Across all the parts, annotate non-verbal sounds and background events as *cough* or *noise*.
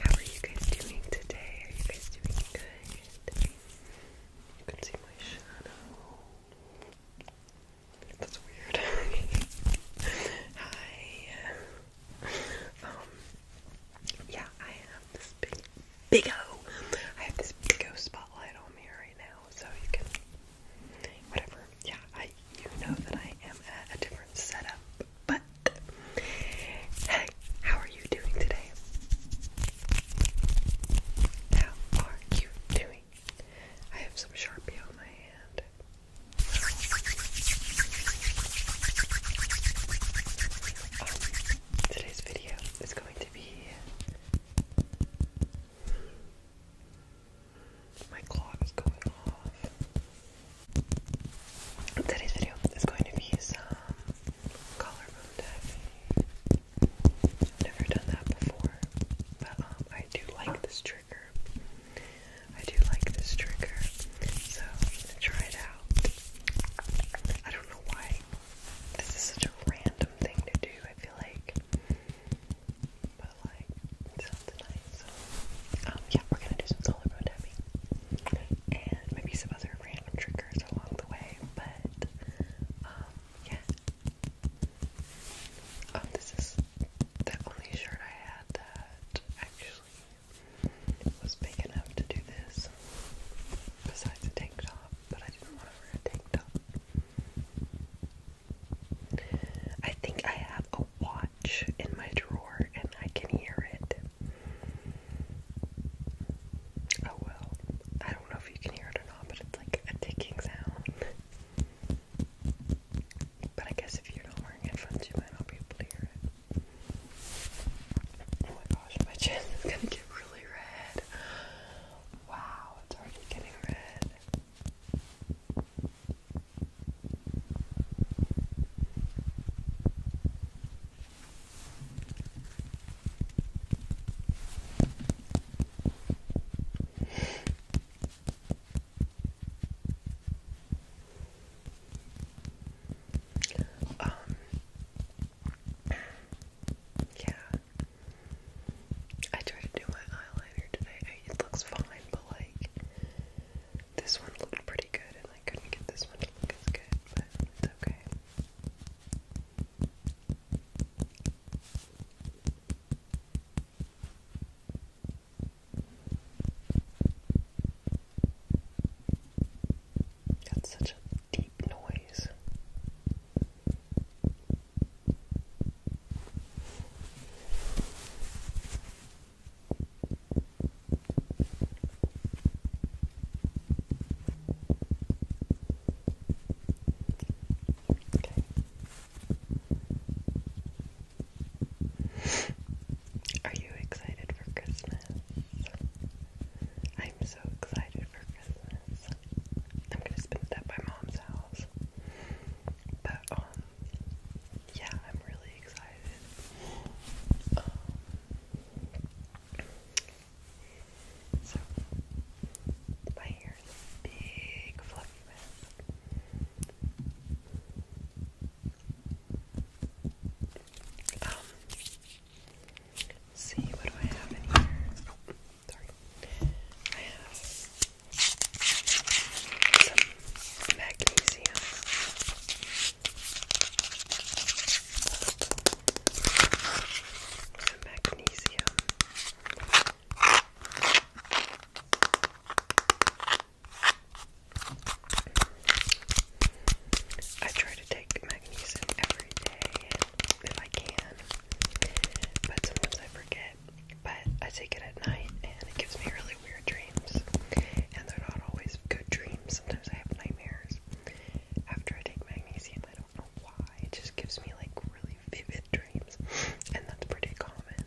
How are you guys doing today? Are you guys doing good? You can see my shadow. That's weird. *laughs* Hi. Um. Yeah, I have this big, big O. I have this big O spotlight on me right now, so you can, whatever. Yeah, I. You know that I am at a different setup but hey, how are you doing today? How are you doing? I have some Sharpie on my hand. Um, today's video is going to be my clock is going off. Today's video is going to be some collarbone diving. never done that before, but um, I do like this trigger. I do like this trigger, so I'm gonna try it out. I don't know why this is such a random thing to do. I feel like, like it sounds So, um, yeah, we're gonna do some solar road tapping and maybe some other random triggers along the way, but um, yeah. Um, this is the only shirt I had that actually was big enough to do this, besides a tank top, but I didn't want to wear a tank top. I think I have a Y in my drawer and I can hear it. Oh well. I don't know if you can hear it or not, but it's like a ticking sound. But I guess if you're not wearing headphones, you might not be able to hear it. Oh my gosh, my *laughs* chin is gonna get really red. Wow, it's already getting red. Um yeah. I tried to do my eyeliner today. I it looks fine, but like this one looked pretty good, and I couldn't get this one to look as good, but it's okay. That's such a deep noise. Okay. Are you excited for Christmas? I'm so excited for Christmas. I'm gonna spend it at my mom's house. But um yeah, I'm really excited. Um, so my hair is big fluffy Um see what do I have in here? Sorry. I have some magnesium. Some magnesium. I try to take magnesium every day if I can, but sometimes I forget it, but I take it at night and it gives me really weird dreams. And they're not always good dreams. Sometimes I have nightmares. After I take magnesium, I don't know why. It just gives me like really vivid dreams. And that's pretty common.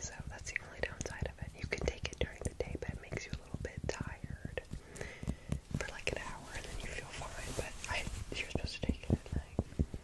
So that's the only downside of it. You can take it during the day, but it makes you a little bit tired for like an hour and then you feel fine. But I, you're supposed to take it at night.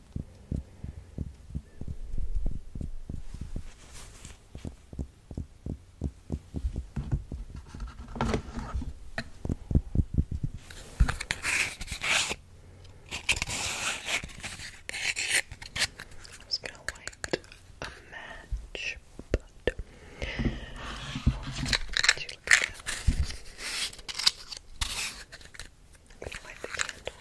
I'm gonna light a match, but *sighs* to look at light the candle.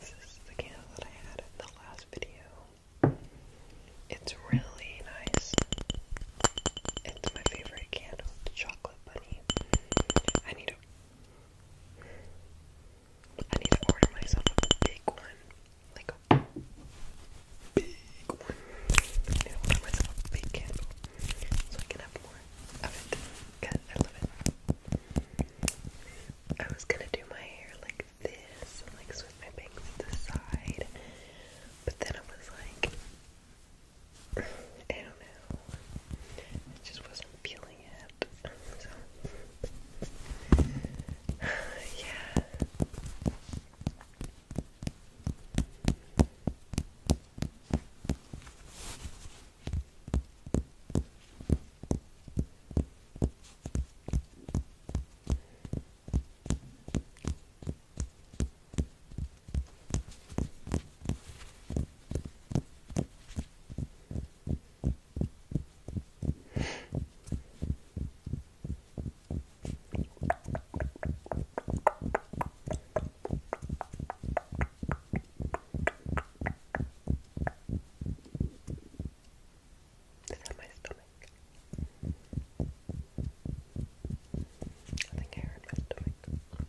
This is the candle that I had in the last video. It's really nice. It's my favorite candle, the chocolate bunny. I need to I need to order myself a big one. Like a big one. I need to order myself a big candle so I can have more of it. Cause I love it. I was gonna do my hair like this, and like switch my bangs to the side, but then I was like, I don't know. I just wasn't feeling it. So *sighs* yeah. Is that my stomach? I think I heard my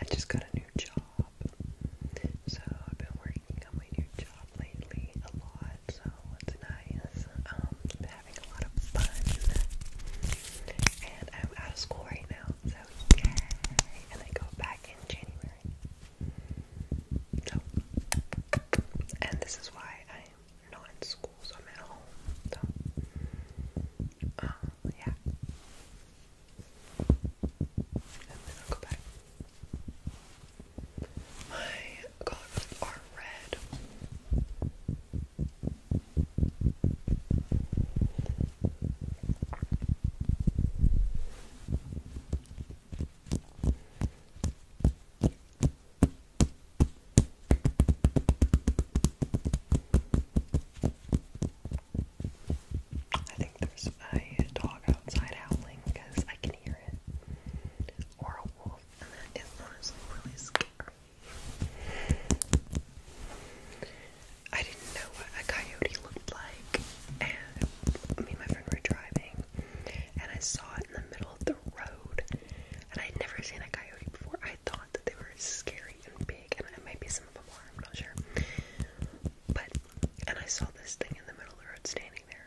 I just got a new job, so I've been working on my new job lately a lot, so it's nice. Um, I've having a lot of fun, and I'm out of school right now, so yay! And I go back in January. So, and this is why I'm not in school, so i Oh, yeah. And then I'll go back. My goggles are red. I think there's a dog outside howling because I can hear it, or a wolf, and that is honestly really scary. I didn't know what a coyote looked like, and me and my friend were driving, and I saw it in the middle of the road, and I'd never seen a coyote before. I thought that they were scary and big, and maybe some of them are, I'm not sure. But, and I saw this thing in the middle of the road standing there.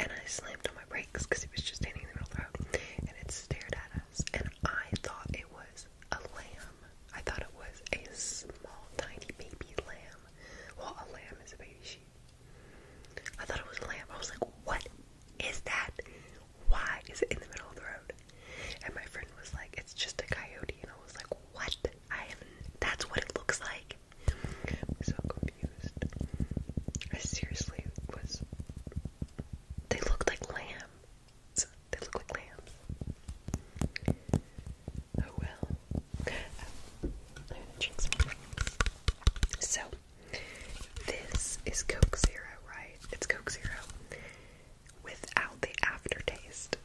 And I slammed on my brakes because it was just standing in the middle of the road. And it stared at us. And I thought it was a lamb. I thought it was a small, tiny baby lamb. Well, a lamb is a baby sheep. I thought it was a lamb. I was like, what is that? Why is it in the middle of the road? And my friend was like, It's just a coyote. And I was like, What? I am. That's what it looks like. I'm so confused. I seriously was. They looked like lambs. They look like lambs. Oh well. So, this is Coke Zero, right? It's Coke Zero without the aftertaste.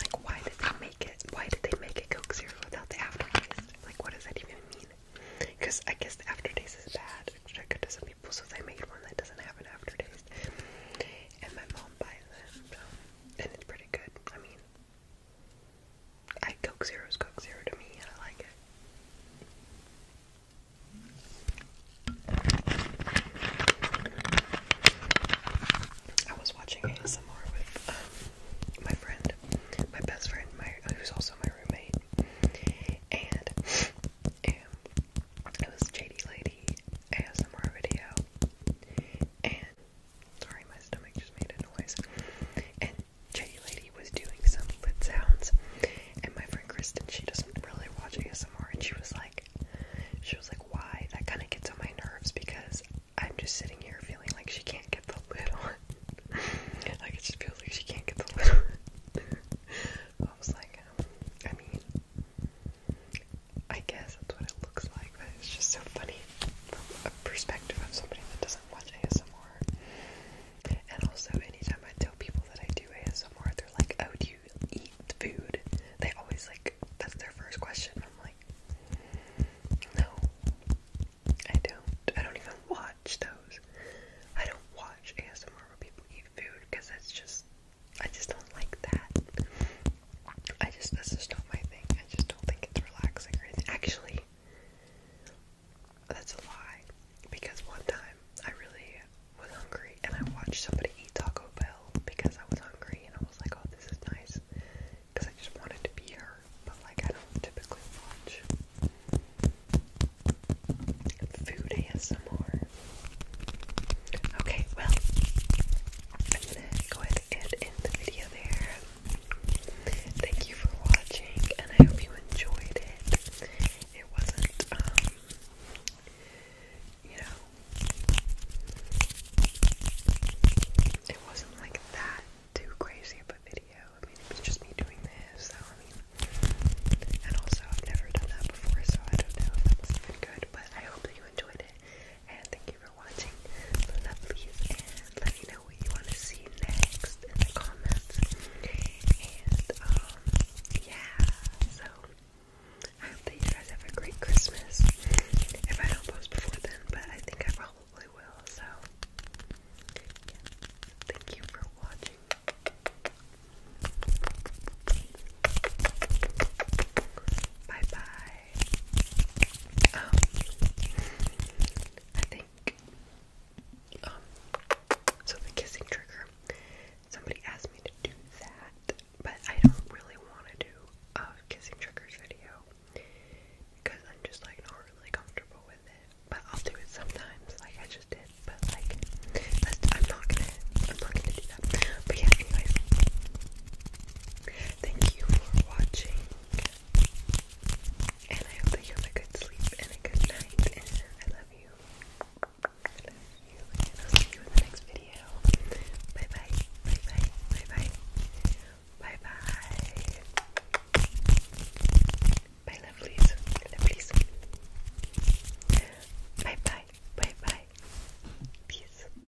Like, why did they make it? Why did they make it Coke Zero without the aftertaste? Like, what does that even mean? Because I guess the aftertaste is bad, I could some people, so they made one that doesn't have an aftertaste. And my mom buys it, so. and it's pretty good. I mean, I Coke Zero is Coke Zero to me, and I like it. I was watching ASMR with um, my friend, my best friend, my who's also my roommate, and um, it was JD Lady ASMR video, and sorry, my stomach just made a noise, Cherry Lady was doing some lid sounds, and my friend Kristen, she doesn't really watch ASMR, and she was like, she was like, why? That kind of gets on my nerves because I'm just sitting here feeling like she can't get the lid on. *laughs* like it just feels like she can't get the lid on. *laughs* I was like, um, I mean, I guess that's what it looks like, but it's just so funny from a perspective of somebody that doesn't watch ASMR. ASMR. And also, anytime I tell people that I do ASMR, they're like, "Oh, do you eat food?" They always like that's their first question. I'm like, "No, I don't. I don't even watch those. I don't watch ASMR where people eat food because that's just I just don't like that. I just that's just not my thing. I just don't think it's relaxing or anything. Actually." That's a lie. Because one time I really was hungry and I watched somebody eat Taco Bell because I was hungry and I was like, oh, this is nice. Because I just wanted to be her. But like, I don't typically watch food ASMR. Okay, well, I'm gonna go ahead and end the video there. Thank you for watching, and I hope you enjoyed it. It wasn't, um, you know, it wasn't like that too crazy of a video. I mean, it was just me doing this, and also I've never done that before, so I don't know if that even good, but I hope that you enjoyed it. And thank you for watching, lovelies. And let me know what you want to see next in the comments. And um, yeah. So I hope that you guys have a great Christmas. If I don't post before then, but I think I probably will. So Thank you for watching. Bye bye. I think, um, so the kissing trigger, somebody asked me to do that, but I don't really want to do a kissing triggers video because I'm just like not really comfortable with it, but I'll do it sometimes, like I just did, but like, I'm not gonna, I'm not gonna do that, but yeah, anyways. Thank you for watching. And I hope that you have a good sleep and a good night. I love you. I love you. I'll see you in the next video. Bye bye. Bye bye. Bye bye. Bye bye. Bye lovelies. Lovelies. Bye bye. Bye bye. Peace.